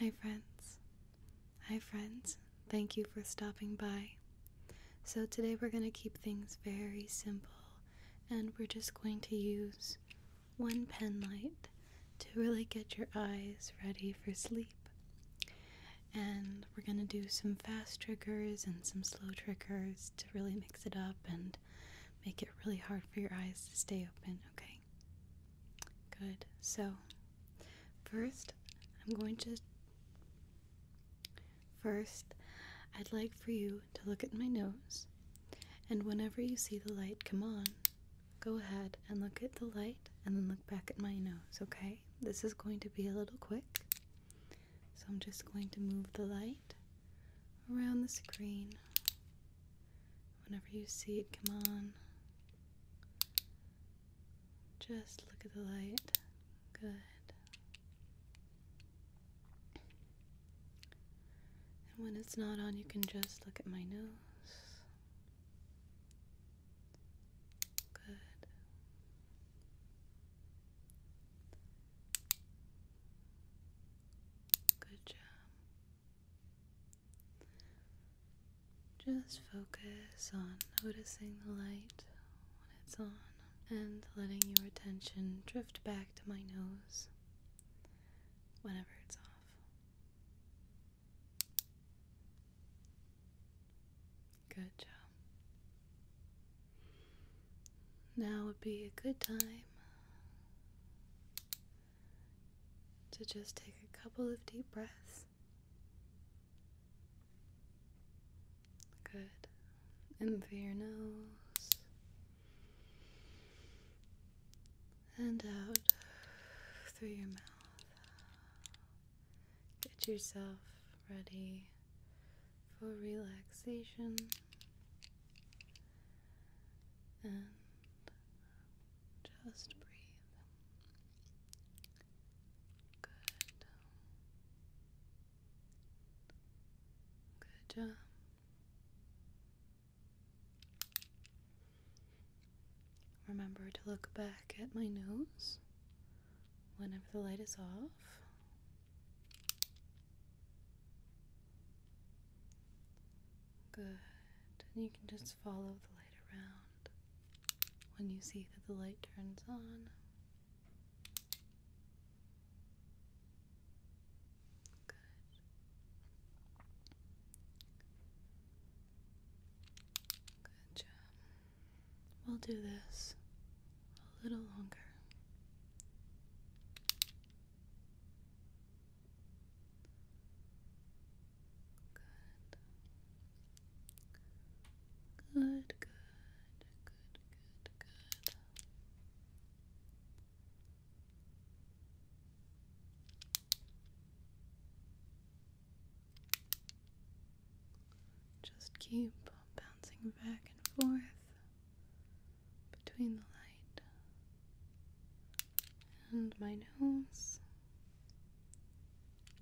Hi, friends. Hi, friends. Thank you for stopping by. So, today we're going to keep things very simple and we're just going to use one pen light to really get your eyes ready for sleep. And we're going to do some fast triggers and some slow triggers to really mix it up and make it really hard for your eyes to stay open, okay? Good. So, first, I'm going to. First, I'd like for you to look at my nose, and whenever you see the light come on, go ahead and look at the light and then look back at my nose, okay? This is going to be a little quick, so I'm just going to move the light around the screen whenever you see it come on. Just look at the light. Good. And when it's not on, you can just look at my nose. Good. Good job. Just focus on noticing the light when it's on and letting your attention drift back to my nose whenever it's off. Good job. Now would be a good time to just take a couple of deep breaths. Good. In through your nose and out through your mouth. Get yourself ready for relaxation and just breathe. Good. Good job. Remember to look back at my nose whenever the light is off. Good. you can just follow the light around. When you see that the light turns on, good. Good job. We'll do this a little longer. Good. Good, good, good, good, good. Just keep bouncing back and forth between the light and my nose. Okay.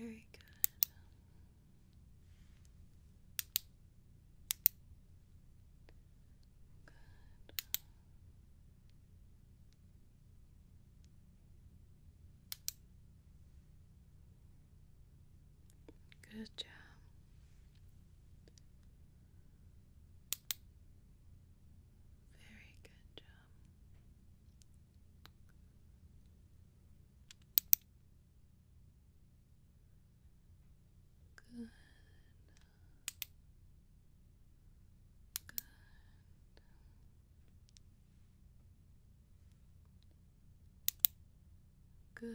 Very good. Good. Good job. Very good job. Good. Good. Good.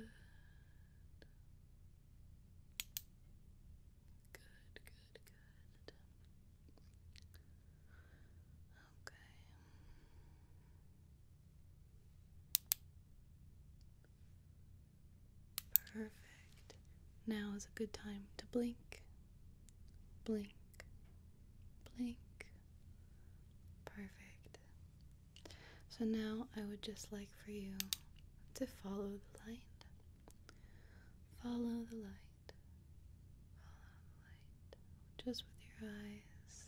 Good, good, good. Okay. Perfect. Now is a good time to blink. Blink. Blink. Perfect. So now I would just like for you to follow the light. Follow the light. Follow the light. Just with your eyes.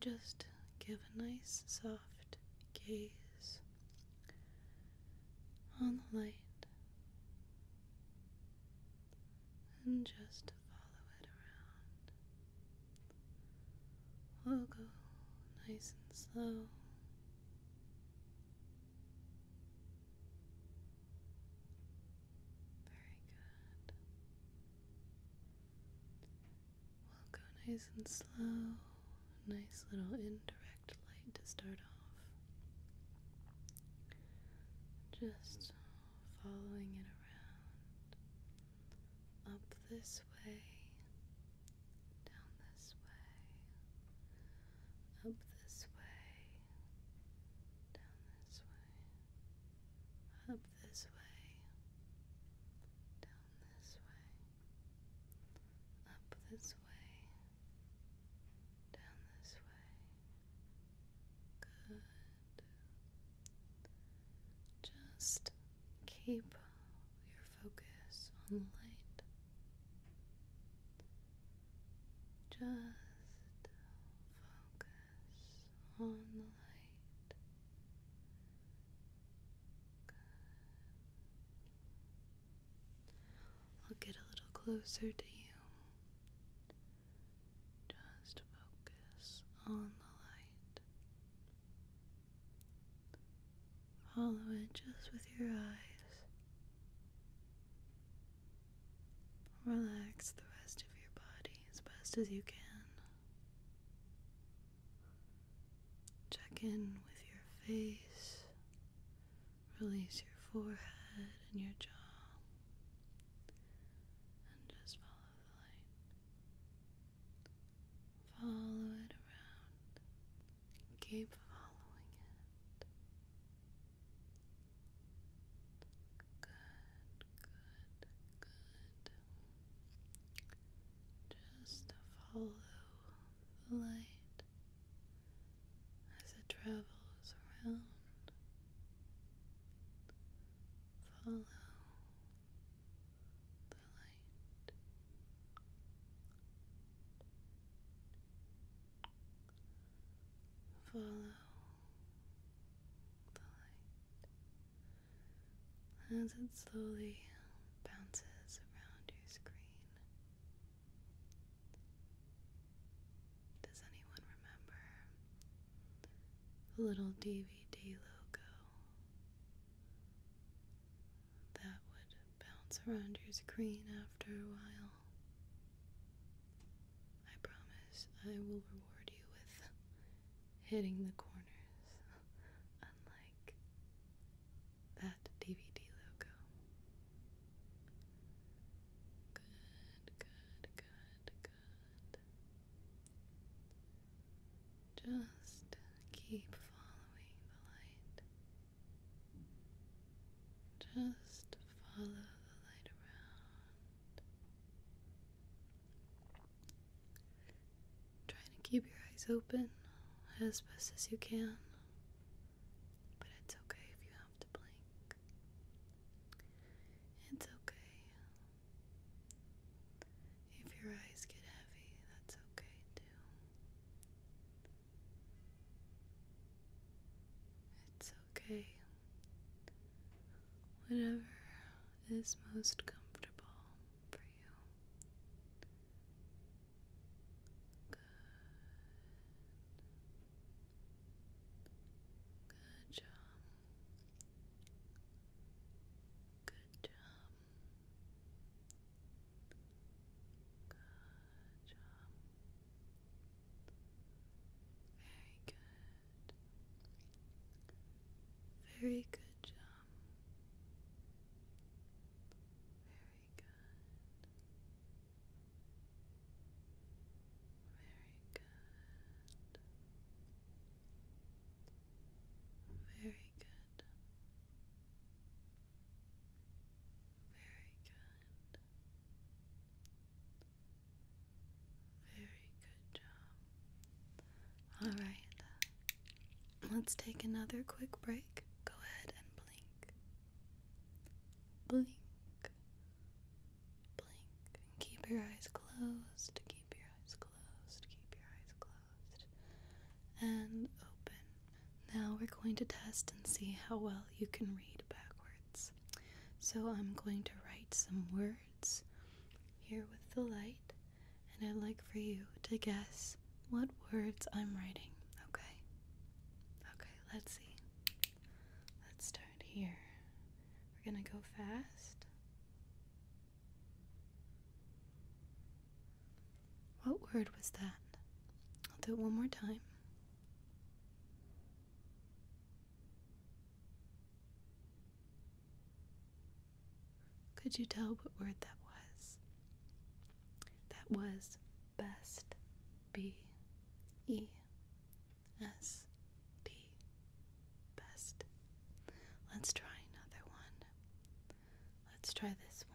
Just give a nice soft gaze on the light and just follow it around. We'll go nice and slow. Very good. We'll go nice and slow. Nice little indirect light to start off. Just following it around. Up this way, down this way, up this way, down this way, up this way, down this way, up this way, down this way. Good. Just keep your focus on the light. Just focus on the light. I'll get a little closer to you. Just focus on the light. Follow it just with your eyes. Relax the rest of your body as best as you can. Check in with your face. Release your forehead and your jaw. And just follow. Follow it around. Keep following it. Good, good, good. Just follow the light as it travels around Follow the light. Follow the light as it slowly bounces around your screen. Does anyone remember little DVD logo that would bounce around your screen after a while. I promise I will reward you with hitting the corners, unlike that DVD logo. Good, good, good, good. Just keep following the light. Just follow the light around. Trying to keep your eyes open as best as you can, but it's okay if you have to blink. It's okay if your eyes get heavy, that's okay too. It's okay. Whatever is most comfortable for you. Good. Good job. Good job. Good job. Very good. Very good job. Very good. Very good. Very good. Very good. Very good job. All right. Let's take another quick break. Go ahead and blink. Blink blink keep your eyes closed, keep your eyes closed, keep your eyes closed, and open. Now we're going to test and see how well you can read backwards. So I'm going to write some words here with the light, and I'd like for you to guess what words I'm writing, okay? Okay, let's see. Let's start here. We're gonna go fast. What word was that? I'll do it one more time. Could you tell what word that was? That was best. B E S P best. Let's try another one. Let's try this one.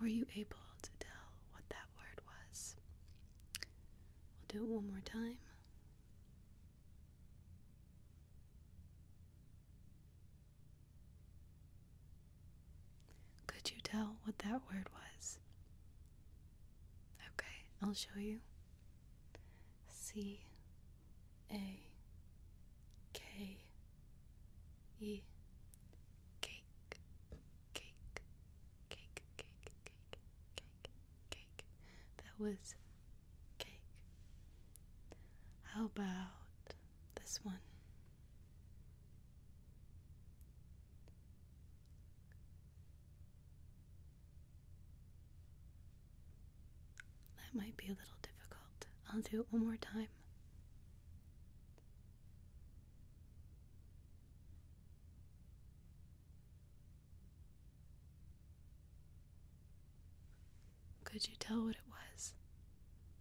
Were you able to tell what that word was? We'll do it one more time. Could you tell what that word was? Okay, I'll show you. C A K E cake cake cake cake cake cake cake that was cake. How about this one. That might be a little difficult. I'll do it one more time. Could you tell what it was?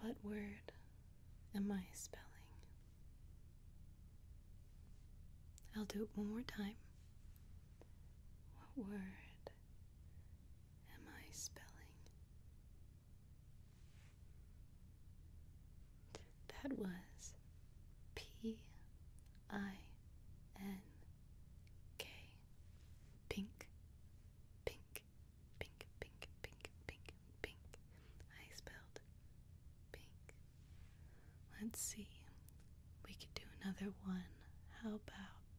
What word am I spelling? I'll do it one more time. What word am I spelling? That was P I N K. Pink, pink pink, pink, pink, pink, pink. I spelled pink. Let's see. We could do another one. How about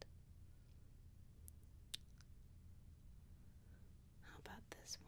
How about this one?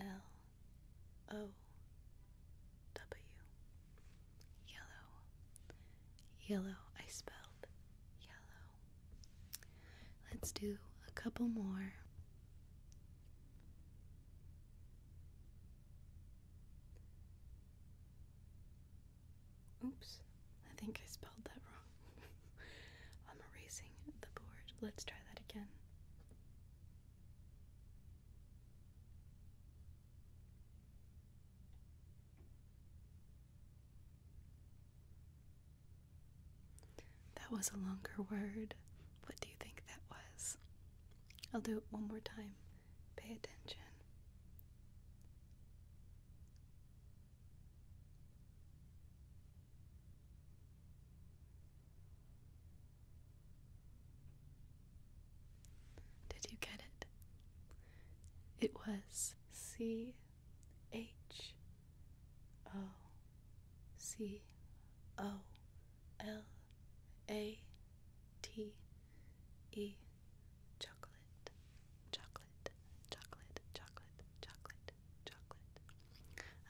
L O W. Yellow. Yellow. I spelled yellow. Let's do a couple more. Oops, I think I spelled that wrong. I'm erasing the board. Let's try that again. That was a longer word. What do you think that was? I'll do it one more time. Pay attention. Did you get it? It was C H O C O L A T E chocolate chocolate chocolate chocolate chocolate chocolate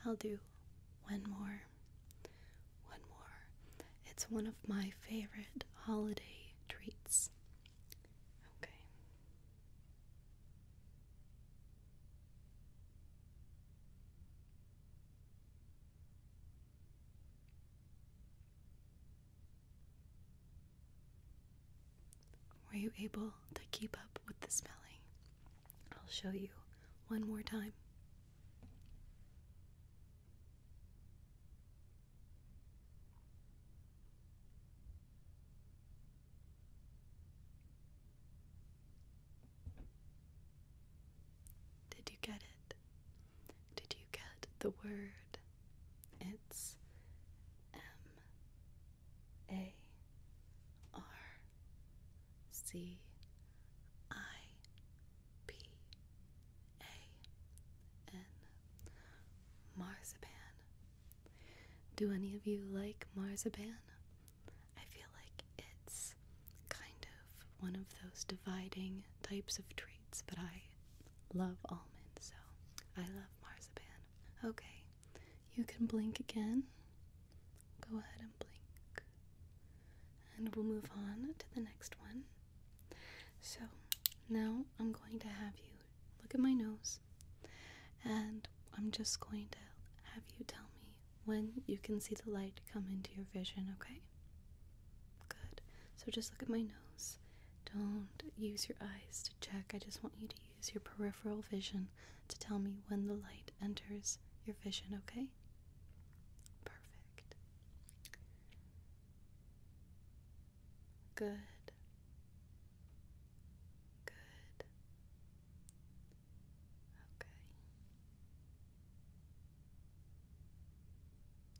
I'll do one more. One more. It's one of my favorite holiday treats. Okay. Were you able to keep up with the smelling? I'll show you one more time. Did you get it? Did you get the word? It's M A R C I P A N Marzipan. Do any of you like marzipan? I feel like it's kind of one of those dividing types of treats, but I love almonds, so I love marzipan. Okay, you can blink again. Go ahead and blink. And we'll move on to the next one. So now I'm going to have you look at my nose and I'm just going to have you tell me when you can see the light come into your vision, okay? Good. So just look at my nose. Don't use your eyes to check. I just want you to use your peripheral vision to tell me when the light light enters your vision, okay? Perfect. Good. Good. Okay.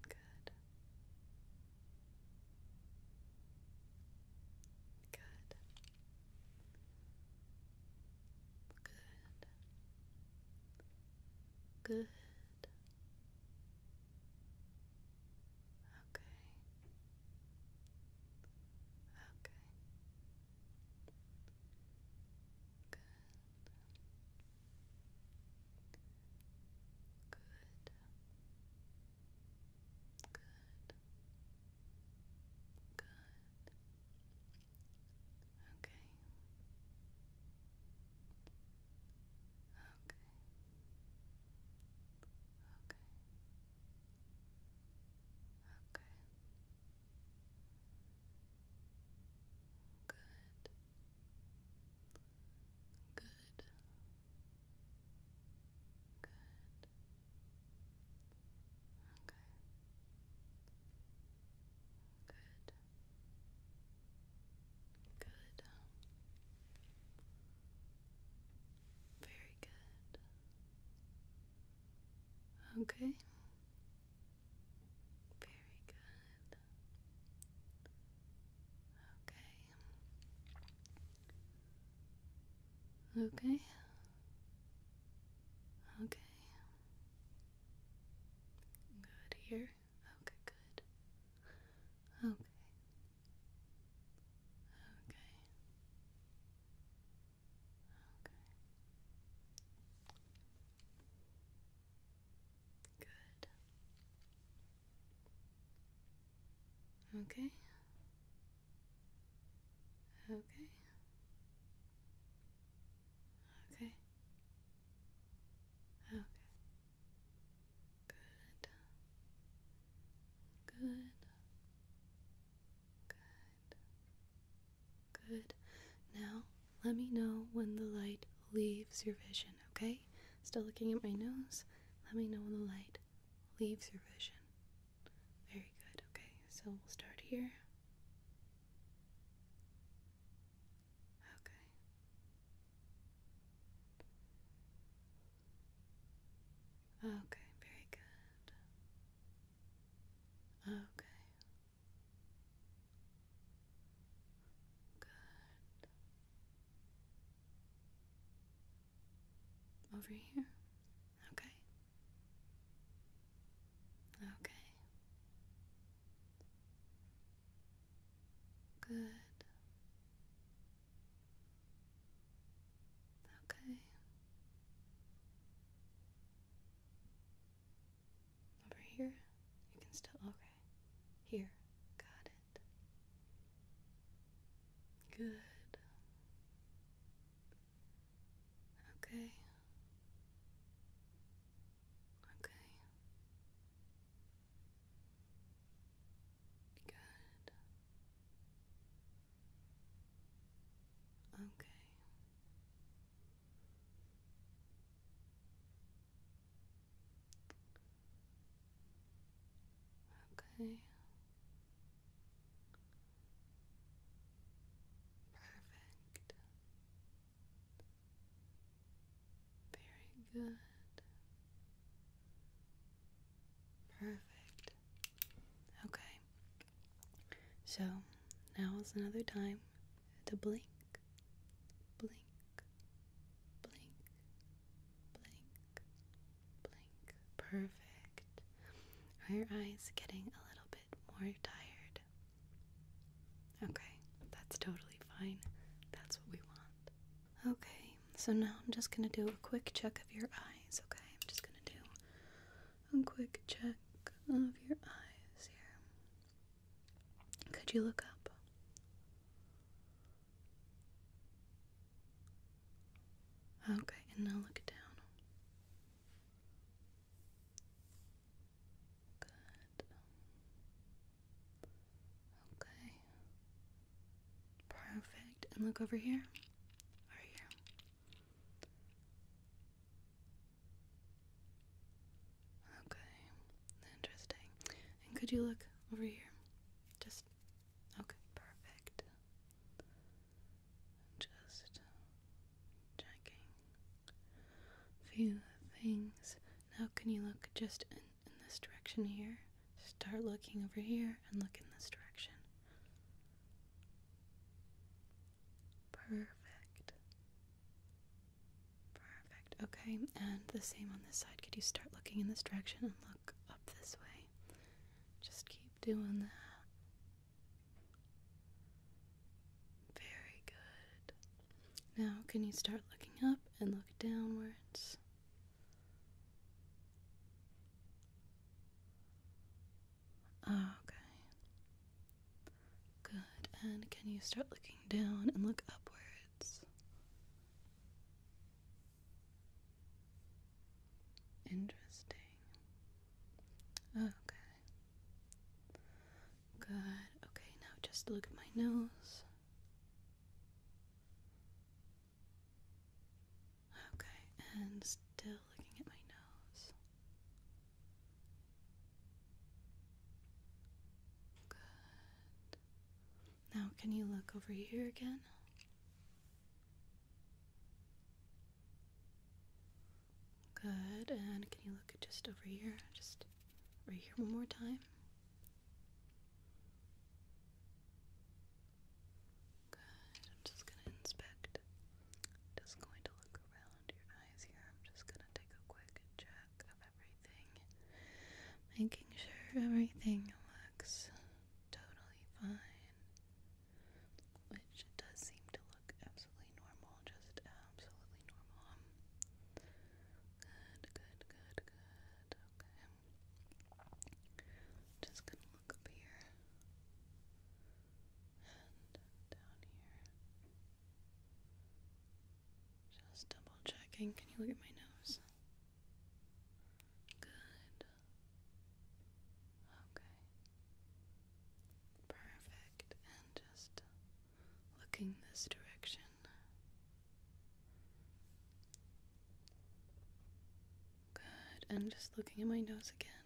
Good. Good. Good. Good. Okay. Okay. Good. Good. Good. Good. Okay. Okay. Okay. Okay. Good. Good. Good. Okay. Good. Good. Very good. Okay. Very good. Okay. Okay. Okay. Good here. Okay, good. Okay. Okay. Okay. Good. Okay. Okay. Okay. Okay. Good. Good. Good. Good. Now, let me know when the light leaves your vision, okay? Still looking at my nose. Let me know when the light leaves your vision. Very good, okay? So we'll start here. Okay. Okay, very good. Okay. Good. Over here. Okay. Okay. Good. Okay. Over here? You can still. Okay. Here. Got it. Good. Okay. Okay. Good. Okay. Okay. Perfect. Very good. Perfect. Okay. So now is another time to blink, blink, blink, blink, blink. Perfect. Are your eyes getting a little bit more tired? Okay, that's totally fine. That's what we want. Okay, so now I'm just gonna do a quick check of your eyes, okay? I'm just gonna do a quick check of your eyes here. Could you look up? Okay, and now look down. Good. Okay. Perfect. And look over here. Or here. Okay. Interesting. And could you look over here? Just okay, perfect. Just checking. Few things. Now, can you look just in, this direction here? Start looking over here and look in this direction. Perfect. Perfect. Okay, and the same on this side. Could you start looking in this direction and look up this way? Just keep doing that. Very good. Now, can you start looking up and look downwards? Ah, okay. Good. And can you start looking down and look upwards? Interesting. Okay. Good. Okay, now just look at my nose. Okay, and still looking at my nose. Good. Now, can you look over here again? Good. And can you look just over here? Just right here one more time. Good. I'm just going to inspect. Just going to look around your eyes here. I'm just going to take a quick check of everything, making sure everything looks totally fine. Which it does seem to absolutely normal, just absolutely normal. Good, good, good, good. Okay. Just gonna look up here and down here. Just double checking. Can you look at my nose? Good. Okay. Perfect. And just looking this direction. Good, and just looking at my nose again.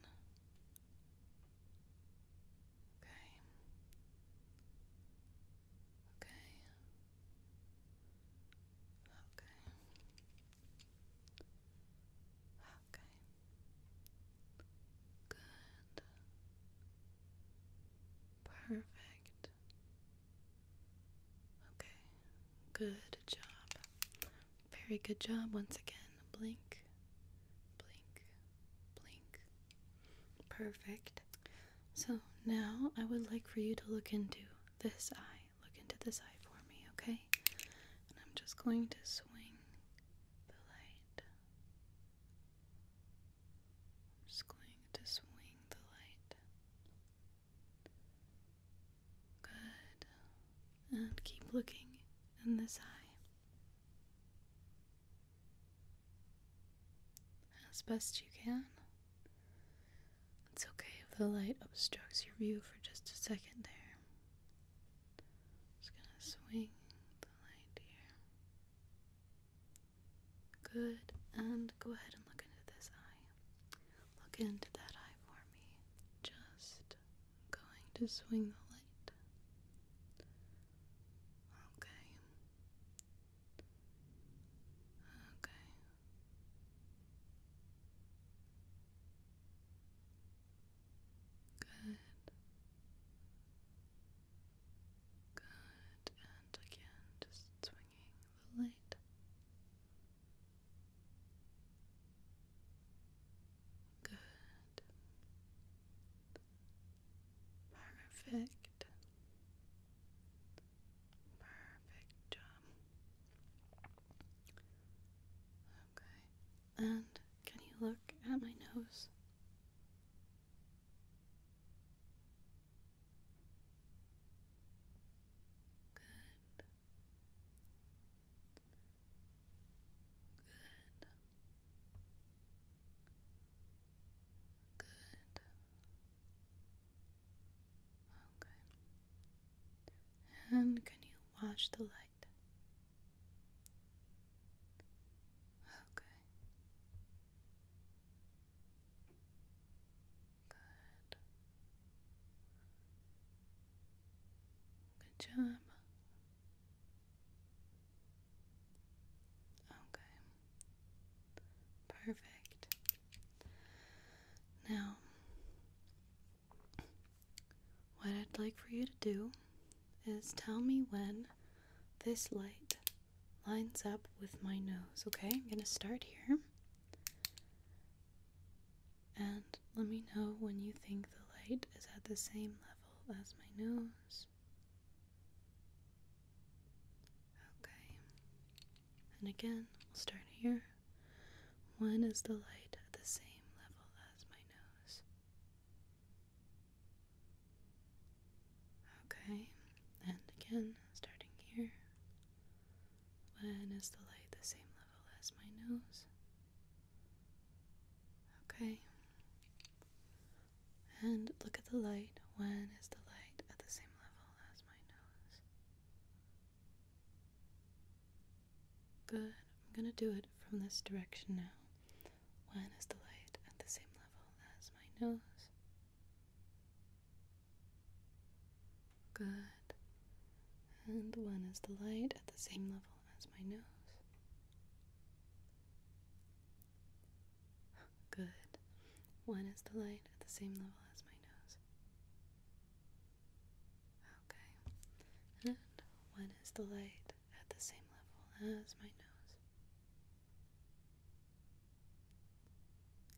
Okay. Okay. Okay. Okay. Good. Perfect. Okay. Good job. Very good job once again. Blink. Blink. Blink. Perfect. So now I would like for you to look into this eye. Look into this eye for me, okay? And I'm just going to swing the light just going to swing the light. Good. And keep looking in this eye. As best you can. It's okay if the light obstructs your view for just a second there. just gonna swing the light here. Good. And go ahead and look into this eye. Look into that eye for me. Just going to swing the light. Okay. Okay. Good. Good, and again, just swinging the light. Good. Perfect. Perfect job. Okay. And can you look at my nose? Good. Good. Good. Okay. And can you watch the light? Okay. Good. Good job. Okay. Perfect. Now, what I'd like for you to do is tell me when this light lines up with my nose. Okay, I'm going to start here. And let me know when you think the light is at the same level as my nose. Okay. And again, we'll start here. When is the light at the same level as my nose? Okay, and again, starting here. When is the light the same level as my nose? Okay. And look at the light. When is the light at the same level as my nose? Good. I'm going to do it from this direction now. One is the light at the same level as my nose? Good. And one is the light at the same level as my nose? Good. When is the light at the same level as my nose? Okay. And when is the light at the same level as my nose?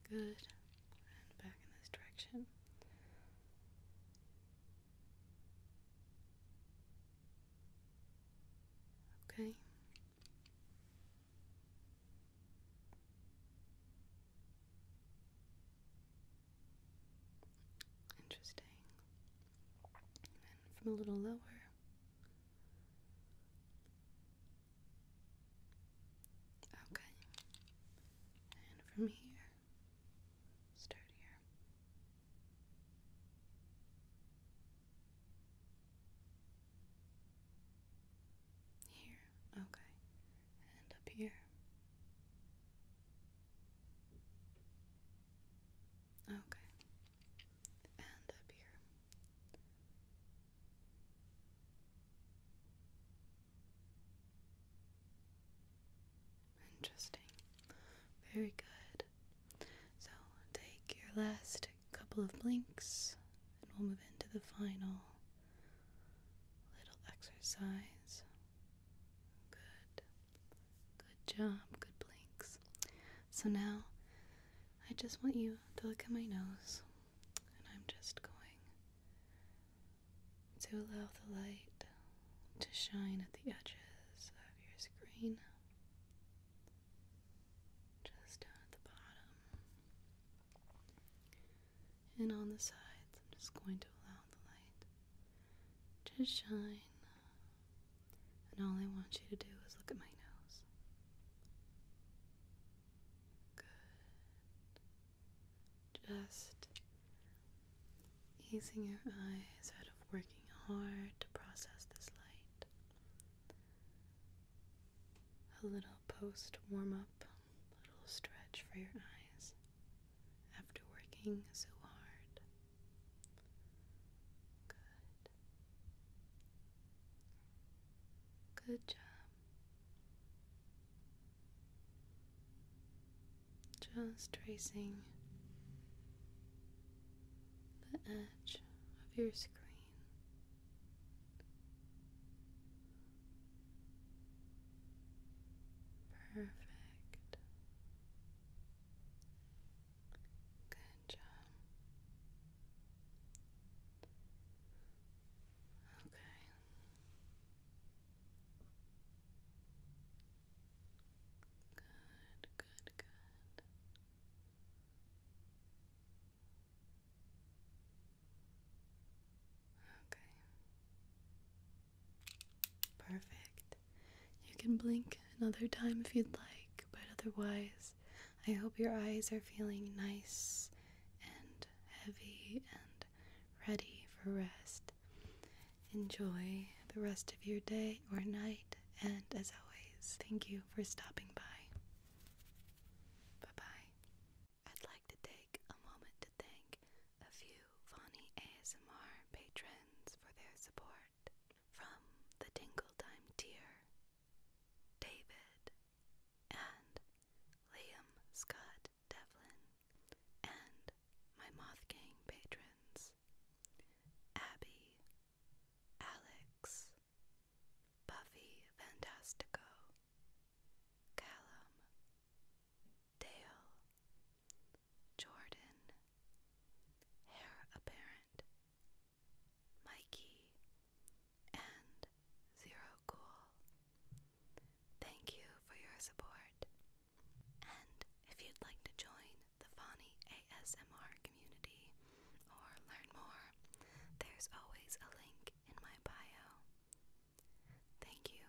Good. And back in this direction. Okay. Interesting. from a little lower. Okay. And from here, start here. Here, okay. And up here. Oh, okay. And up here. Interesting. Very good. So take your last couple of blinks and we'll move into the final little exercise. Good. Good job. Good blinks. So now I just want you to look at my nose, and I'm just going to allow the light to shine at the edges of your screen. Just down at the bottom. And on the sides, I'm just going to allow the light to shine and all I want you to do is look at my nose. Good. Just easing your eyes out of working hard to process this light. A little post warm up, little stretch for your eyes after working so hard. Good. Good job. Just tracing the edge of your screen. Perfect. Good job. Okay. Good, good, good. Okay. Perfect. You can blink another time if you'd like, but otherwise, I hope your eyes are feeling nice and heavy and ready for rest. Enjoy the rest of your day or night, and as always, thank you for stopping by. Bye bye. I'd like to take a moment to thank a few Vonnie ASMR patrons for their support from the Dingle Time Tier, David and Liam Scott Devlin, and my Moth Gang patrons, Abby, Alex, Buffy Fantastico, Callum, Dale, Jordan, Hair Apparent, Mikey, and Zero Cool. Thank you for your support. And if you'd like to join the Fani ASMR community or learn more, there's always a link in my bio. Thank you.